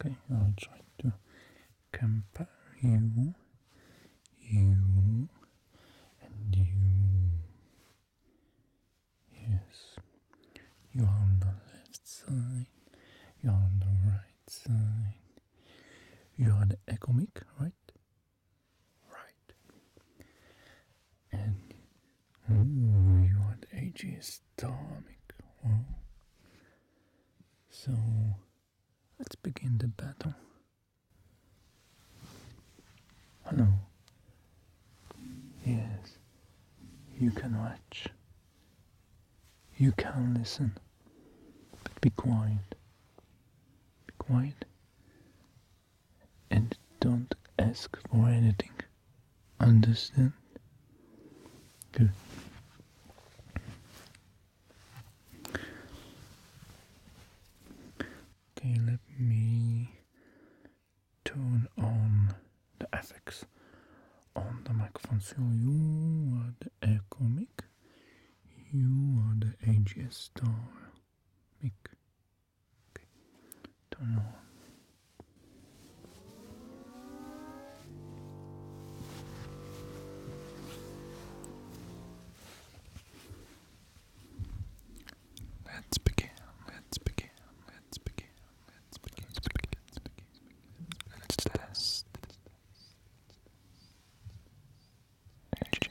Okay, I'll try to compare you, you, and you. Yes, you are on the left side, you are on the right side, you are the ecomic, right? Right. And you want AG stomach. so let's begin the battle. Hello. Yes. You can watch. You can listen. But be quiet. quiet and don't ask for anything. Understand? Good. Okay, let me turn on the effects on the microphone. So you are the air comic, you are the AGS star mic. Okay. Turn it Let's begin. Let's begin. Let's begin. Let's begin. Let's begin. Let's begin. Let's test. Energy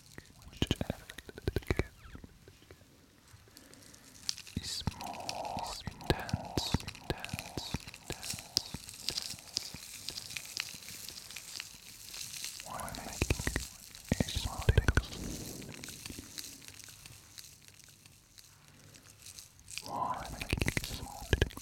Whichever is more intense, intense, intense, intense. While making a small Why making a small tickle?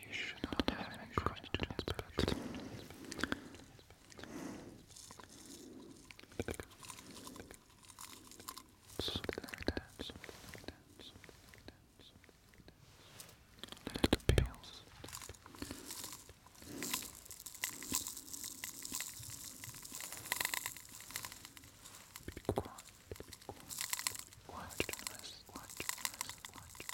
You should not have any questions, but something like that, something like that, Little pills. Be quiet. Watch and rest. Watch and rest. Watch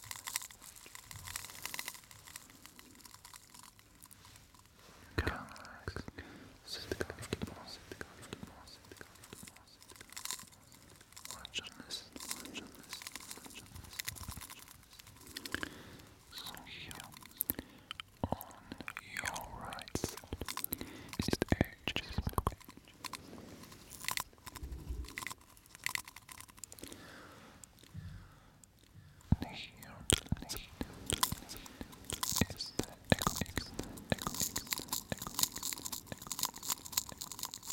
and rest. Come Watch on this, watch on this, watch on this, watch on this. So here, on your right side, is the edge is the edge. And here, on the left, is the echo, echo, echo, echo, echo, echo, echo, echo.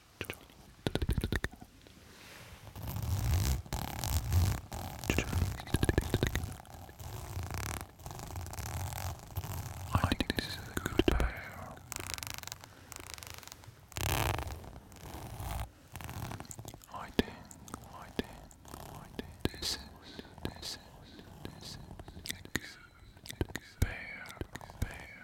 I think this is a good pair. I think, I think, I think this is, this is, this is a good pair, pair.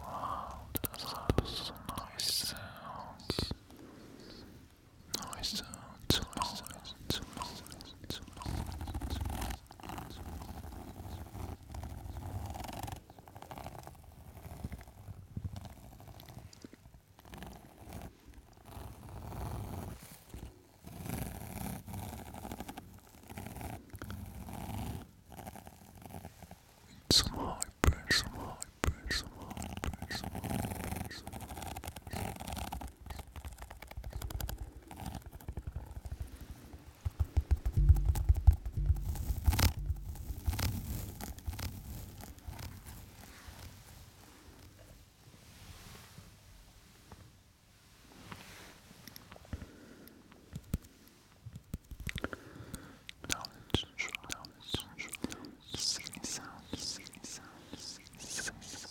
Wow, those are nice sounds. Nice sounds, some high pressure, some high pressure, some high pressure, some high pressure. Knowledge, knowledge, singing sound, singing sound, singing sound, singing sound.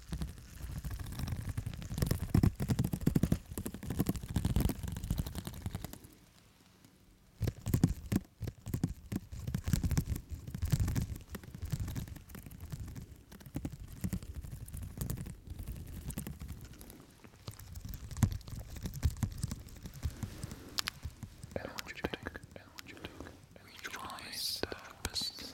And what you take, and what you take, rejoice the best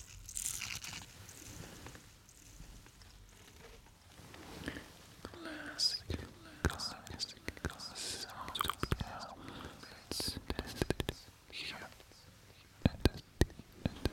Classic, classic, classic sound of now. Let's test it here. And then, and then.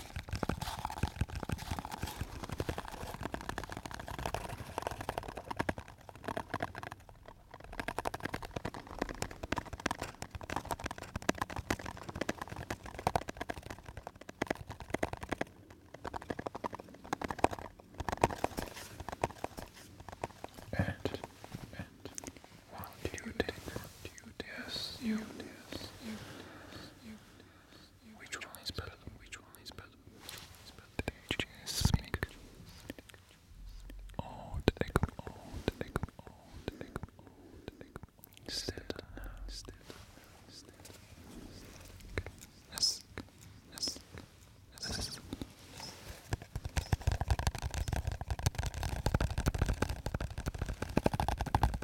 And, and, one, two, three, yes, you, yes, you, yes, you, yes, which one is better? Which one is better? Did you just sneak? Oh, the egg, oh, the egg, oh, the egg, oh, the egg. Instead, instead, instead. Yes, yes, yes.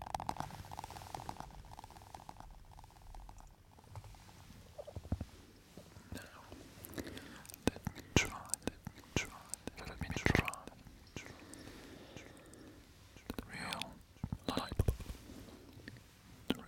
Now, let me try, let me try, let, let me try, try, try. real light real light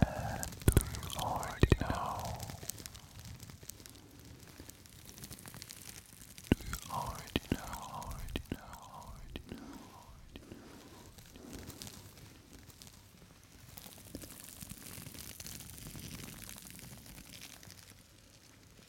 And do you already know? Do you Already know? Already know? Already know.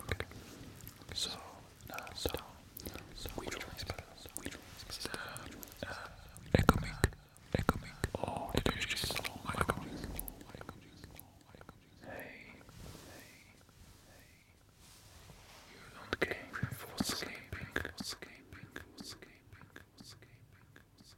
Okay. So, uh, so, so, which one is better? Which one is better? Uh, uh, Ecomic. Ecomic. Oh, it is just so Ecomic. Hey, hey, hey. You don't care for escaping, for escaping, for escaping, for escaping, for escaping.